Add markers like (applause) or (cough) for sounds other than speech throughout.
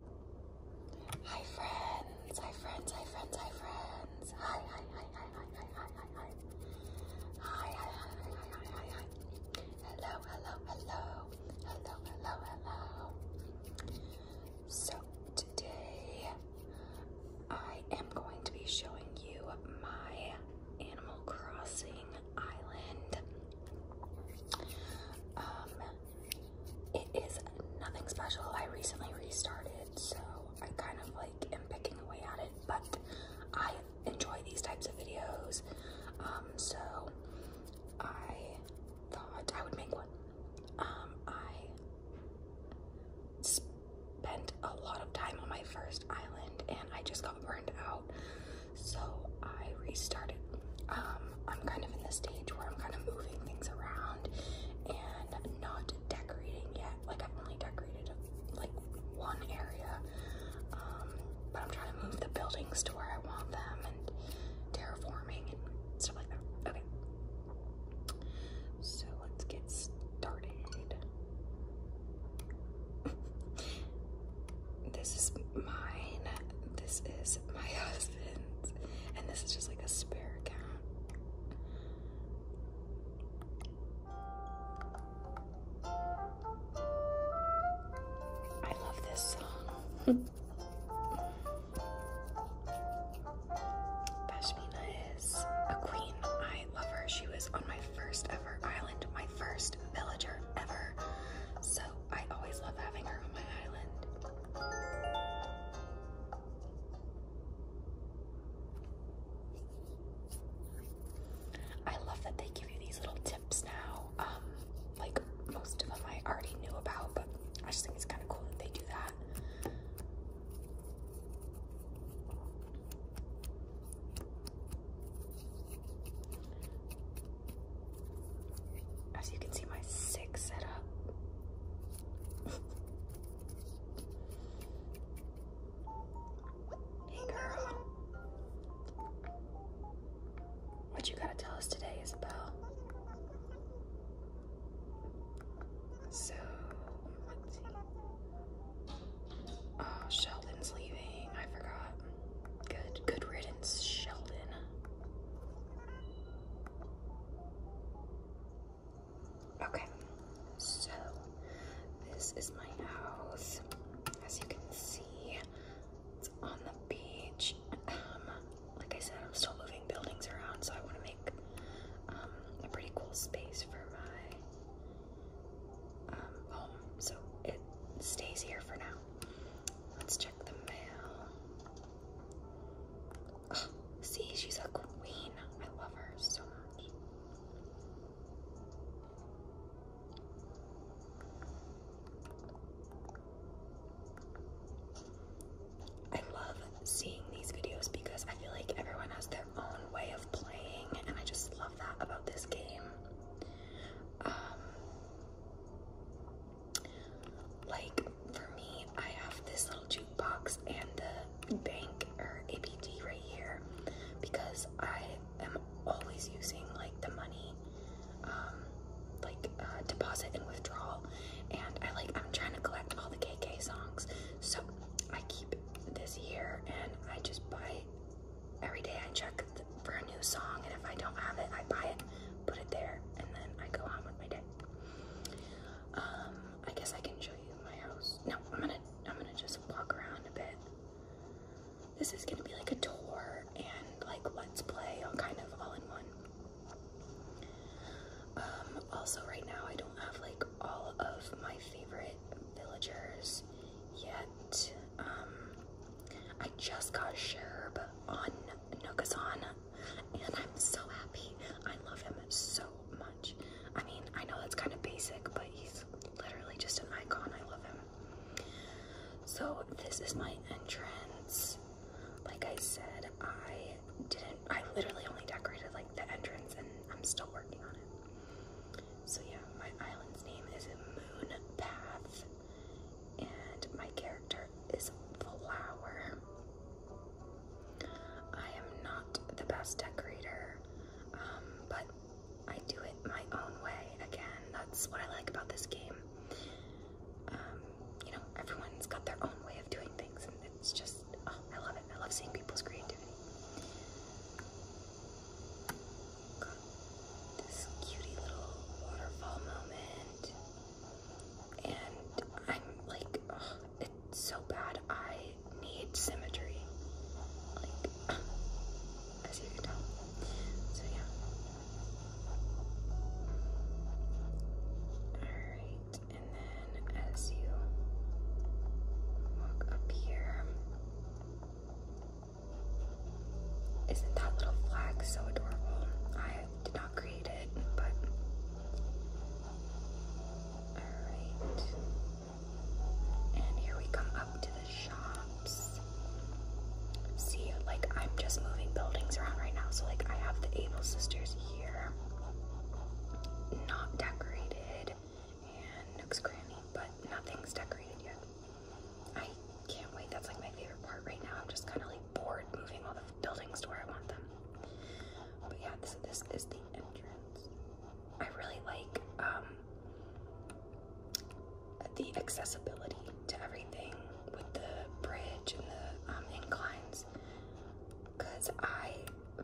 Hi friends, hi friends, hi friends, hi friends. Hi, hi, hi, hi, hi, hi, hi, hi, hi. Hi, hi, hi, hi, hi, hi, hi, hi. Hello, hello, hello. Hello, hello, hello. So today I am going to be showing you my Animal Crossing Island. Um it is nothing special. I recently restarted, so I kind of like am picking away at it, but I enjoy these types of videos. Um, so I thought I would make one. Um, I spent a lot of time on my first island and I just got burned out, so I restarted. Um, I'm kind of in the stage where I'm kind of moving things around and not decorating yet. Like I've only decorated like one area, um, but I'm trying to move the buildings to where I want them and terraforming and stuff like that. Okay, so let's get started. (laughs) this is mine this is my (laughs) husband, and this is just like a spare account. I love this song. (laughs) Pashmina is a queen. I love her. She was on my first ever island, my first villager ever. So I always love having her on my island. I love that they give you these little tips now. Um, like most of them I already knew about, but I just think it's kind of cool that they do that. As you can see, my sick setup. hey, girl. What you gotta tell us today, Isabel? So, let's see. Oh, Sheldon's leaving. I forgot. Good, good riddance, Sheldon. Okay, so this is my house. As you can see, it's on the beach. Um, like I said, I'm still moving buildings around, so I want to make um, a pretty cool space for my um, home. So it stays here for now. Let's check the mail. see, she's a queen. I love her so much. I love seeing these videos because I feel like everyone has their own way of playing, and I just love that about this game. Um, like for me, I have this little jukebox and the bank or APD right here because I am always using like the money, um, like uh, deposit and withdrawal. And I like I'm trying to collect all the KK songs, so I keep this here and I just buy every day. I check for a new song, and if I don't have it, I buy it, put it there, and then I go on with my day. Um, I guess I can show you my house. No, I'm gonna I'm gonna just walk around a bit. This is gonna be like a tour and like let's play, all kind of all in one. Um, also right now I don't have like all of my favorite villagers yet. Um, I just got Sherb on Nookazon, and I'm so happy. I love him so much. I mean, I know that's kind of basic, but he's literally just an icon. I love him. So this is my entrance. Like I said, I didn't. I literally only decorated like the entrance, and I'm still working on it. So yeah, my island's name is Moon Path and my character is Flower. I am not the best decorator, um, but I do it my own way. Again, that's what I like about this game. Um, you know, everyone's got their own way of doing things, and it's just, oh, I love it. I love seeing people's creativity this cutie little waterfall moment. And I'm like, it's so bad. I need symmetry. Like, as you can tell. So, yeah. Alright, and then as you walk up here, isn't that little flag so adorable? I did not create it, but. Alright. And here we come up to the shops. See, like, I'm just moving buildings around right now. So, like, I have the Able Sisters here. Not decorated. And Nook's Granny, but nothing's decorated yet. I can't wait. That's like my favorite part right now. I'm just kind of like bored moving all the buildings to where I want them. But yeah, this this is the entrance. I really like um, the accessibility to everything with the bridge and the um, inclines, because I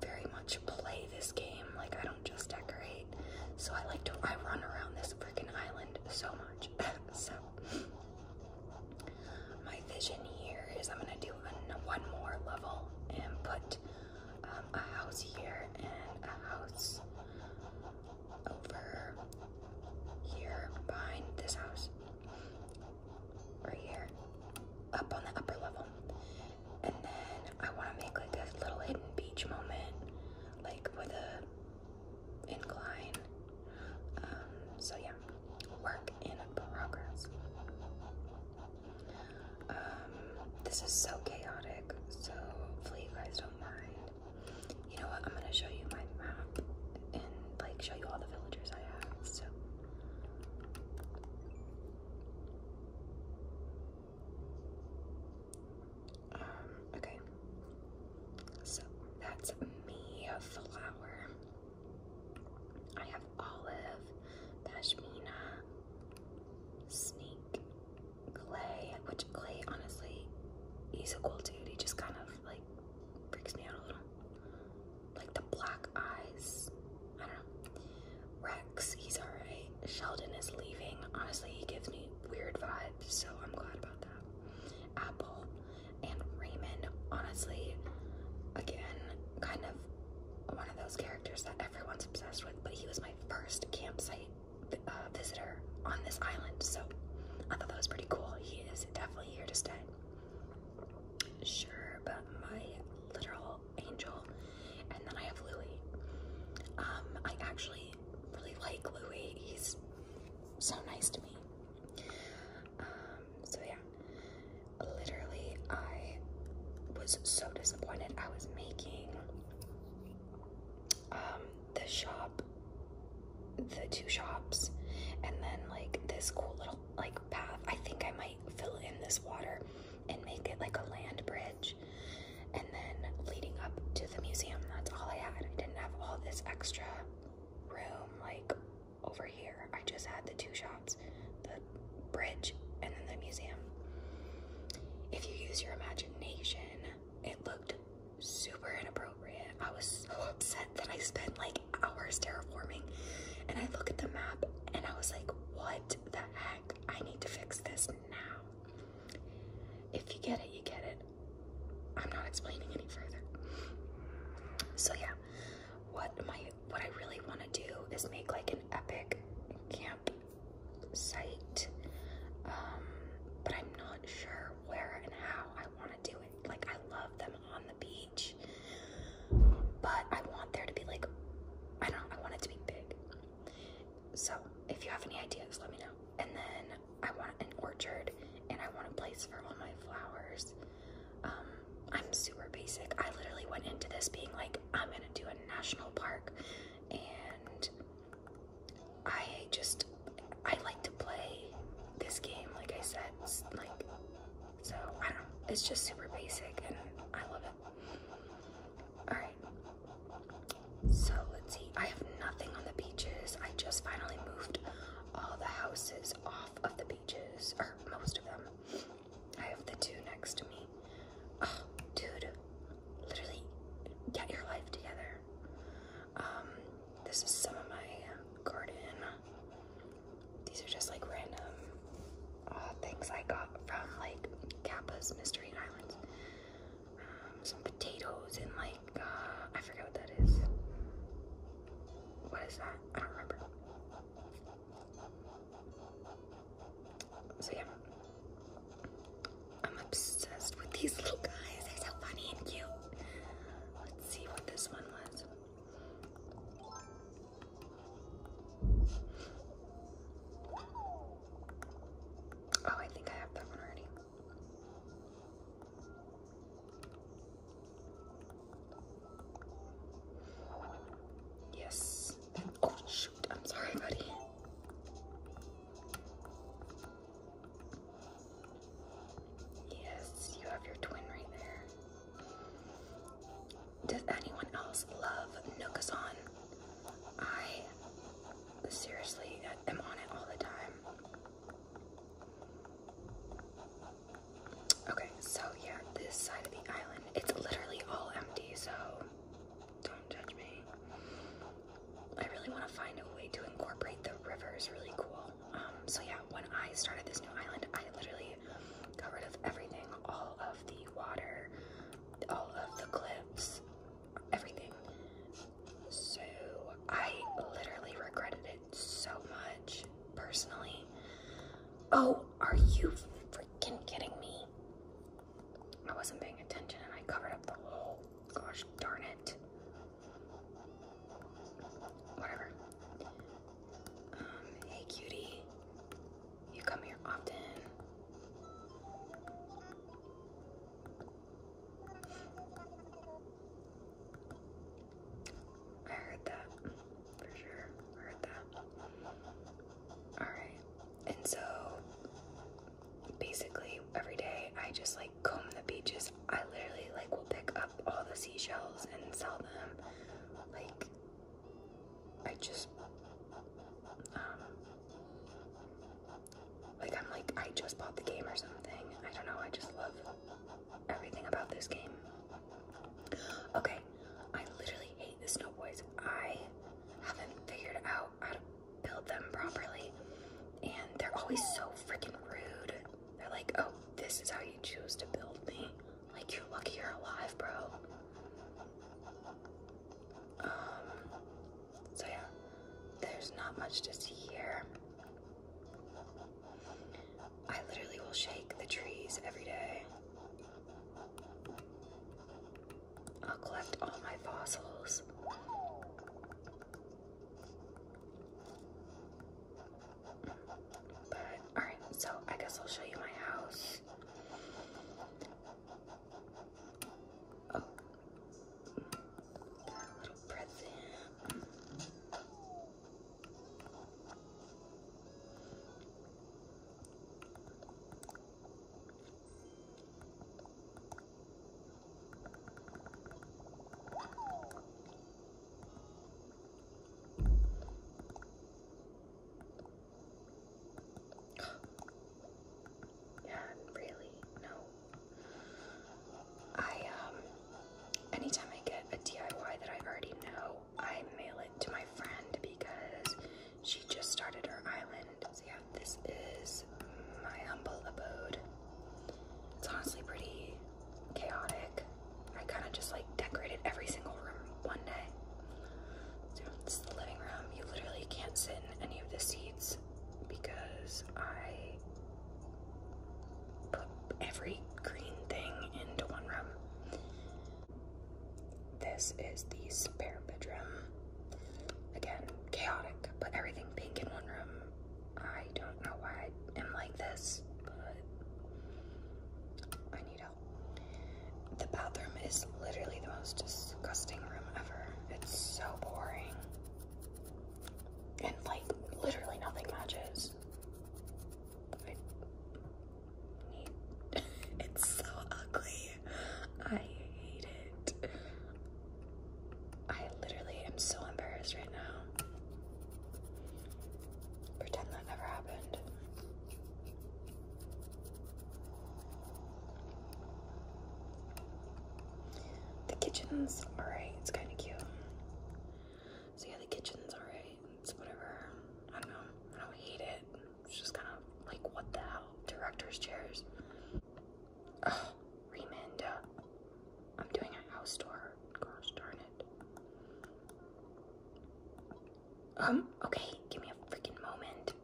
very much play this game. Like I don't just decorate, so I like to I run around this freaking island so much. (laughs) so my vision here is I'm gonna do one more level and put um, a house here and a house over here behind this house right here up on the upper level and then I want to make like a little hidden beach moment like with a incline. Um, so yeah, work in progress. Um, this is so chaotic, so hopefully you guys don't mind. You know what? I'm gonna show you my map and like show you all the villagers I have. So. Um, okay. So that's me, flower. I have olive, pashmina, snake, clay, which clay honestly, he's a cool dude. He just kind of like freaks me out a little. Like the black eyes. I don't know. Rex, he's alright. Sheldon is leaving. Honestly, he gives me weird vibes so I'm glad about that. Apple and Raymond, honestly, again, kind of one of those characters that everyone's obsessed with, but he was my first campsite uh, visitor on this island, so I thought that was pretty cool. He is definitely here to stay. Sure, but my literal angel. And then I have Louie. Um, I actually I really like Louis. He's so nice to me. Um, so yeah, literally I was so disappointed. I was making um, the shop, the two shops, and then like this cool little like path. I think I might fill in this water and make it like a land bridge and then leading up to the museum, that's all I had. I didn't have all this extra room like over here. I just had the two shops, the bridge, and then the museum. If you use your imagination, it looked super inappropriate. I was so upset that I spent like hours terraforming. And I look at the map and I was like, what the heck? I need to fix this now. If you get it, you get it. I'm not explaining any further. So yeah, what my what I really want to do is make like an epic camp site, um, but I'm not sure where and how I want to do it. Like I love them on the beach, but I want there to be like I don't. Know, I want it to be big. So if you have any ideas, let me know. And then I want an orchard and I want a place for all my flowers. Um, I'm super basic. I literally went into this being like, I'm gonna do a national park, and I just I like to play this game. Like I said, like so I don't. It's just super basic, and I love it. All right, so let's see. I have nothing on the beaches. I just finally moved all the houses off of the beaches, or most of them. I have the two next to me. Oh, dude, literally, get your life together. Um, this is some of my garden. These are just like random uh, things I got from like Kappa's Mystery Islands some potatoes and like uh, I forget what that is. What is that? I don't remember. So yeah, I'm obsessed with these little guys. They're so funny and cute. Let's see what this one was. Oh, I think I have that one already. Yes. Oh, shoot. I'm sorry, buddy. Yes, you have your twin right there. Does anyone else love Nookazon? I seriously, I'm on it all the time. Okay, so yeah, this side of the island, it's literally all empty, so don't judge me. I really want to find a way to incorporate the river is really cool. Um, so yeah, when I started this new island, I literally got rid of everything, all of the water, all of the cliffs, everything. So I literally regretted it so much personally. Oh, are you freaking kidding me? I wasn't paying attention and I covered up the hole. Gosh darn it. Whatever. Um, hey cutie. You come here often. I heard that for sure. I heard that. Alright. And so basically every day I just like comb the beaches. I literally like will pick up all the seashells and sell them. Like I just um, like, I'm like, I just bought the game or something. I don't know, I just love everything about this game. Okay, I literally hate the snow boys. I haven't figured out how to build them properly, and they're always so freaking rude. They're like, oh, this is how you choose to build me. Like, you're lucky you're alive, bro. Um, so yeah, there's not much to see here. I literally will shake the trees every day. I'll collect all my fossils. But, alright, so I guess I'll show you my house. Oh. Got a little present yeah, really, no. I, um, anytime I get a DIY that I already know, I mail it to my friend because she just started her island. So yeah, this is my humble abode. It's honestly pretty chaotic. I kind of just like decorated every single room one day. This is the living room. You literally can't sit in any of the seats because I put every green thing into one room. This is the spare bedroom. Again, chaotic. Put everything pink in one room. I don't know why I am like this, but I need help. The bathroom is literally the most disgusting room ever. It's so boring. And like literally nothing matches. (laughs) it's so ugly. I hate it. I literally am so embarrassed right now. Pretend that never happened. The kitchen's alright, it's kind of cute. So, yeah, the kitchen's alright, it's whatever. I don't know, I don't hate it. It's just kind of like, what the hell? Director's chairs. Ugh, Remanda. I'm doing a house tour. Gosh darn it. Um, okay, give me a freaking moment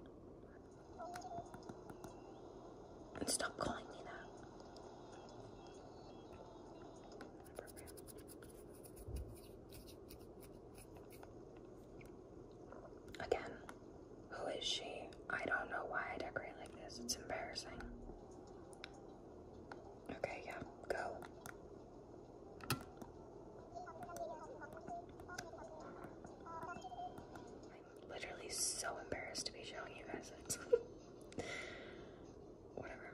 stop calling me that. Again, who is she? I don't know why I decorate like this. It's embarrassing. Okay, yeah, go. I'm literally so embarrassed to be showing you guys (laughs) Whatever.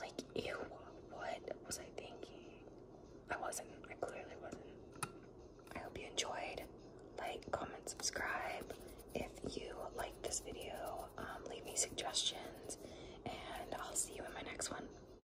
Like, ew, what was I thinking? I wasn't. I clearly wasn't. I hope you enjoyed. Like, comment, subscribe. If you like this video, um, leave me suggestions, and I'll see you in my next one.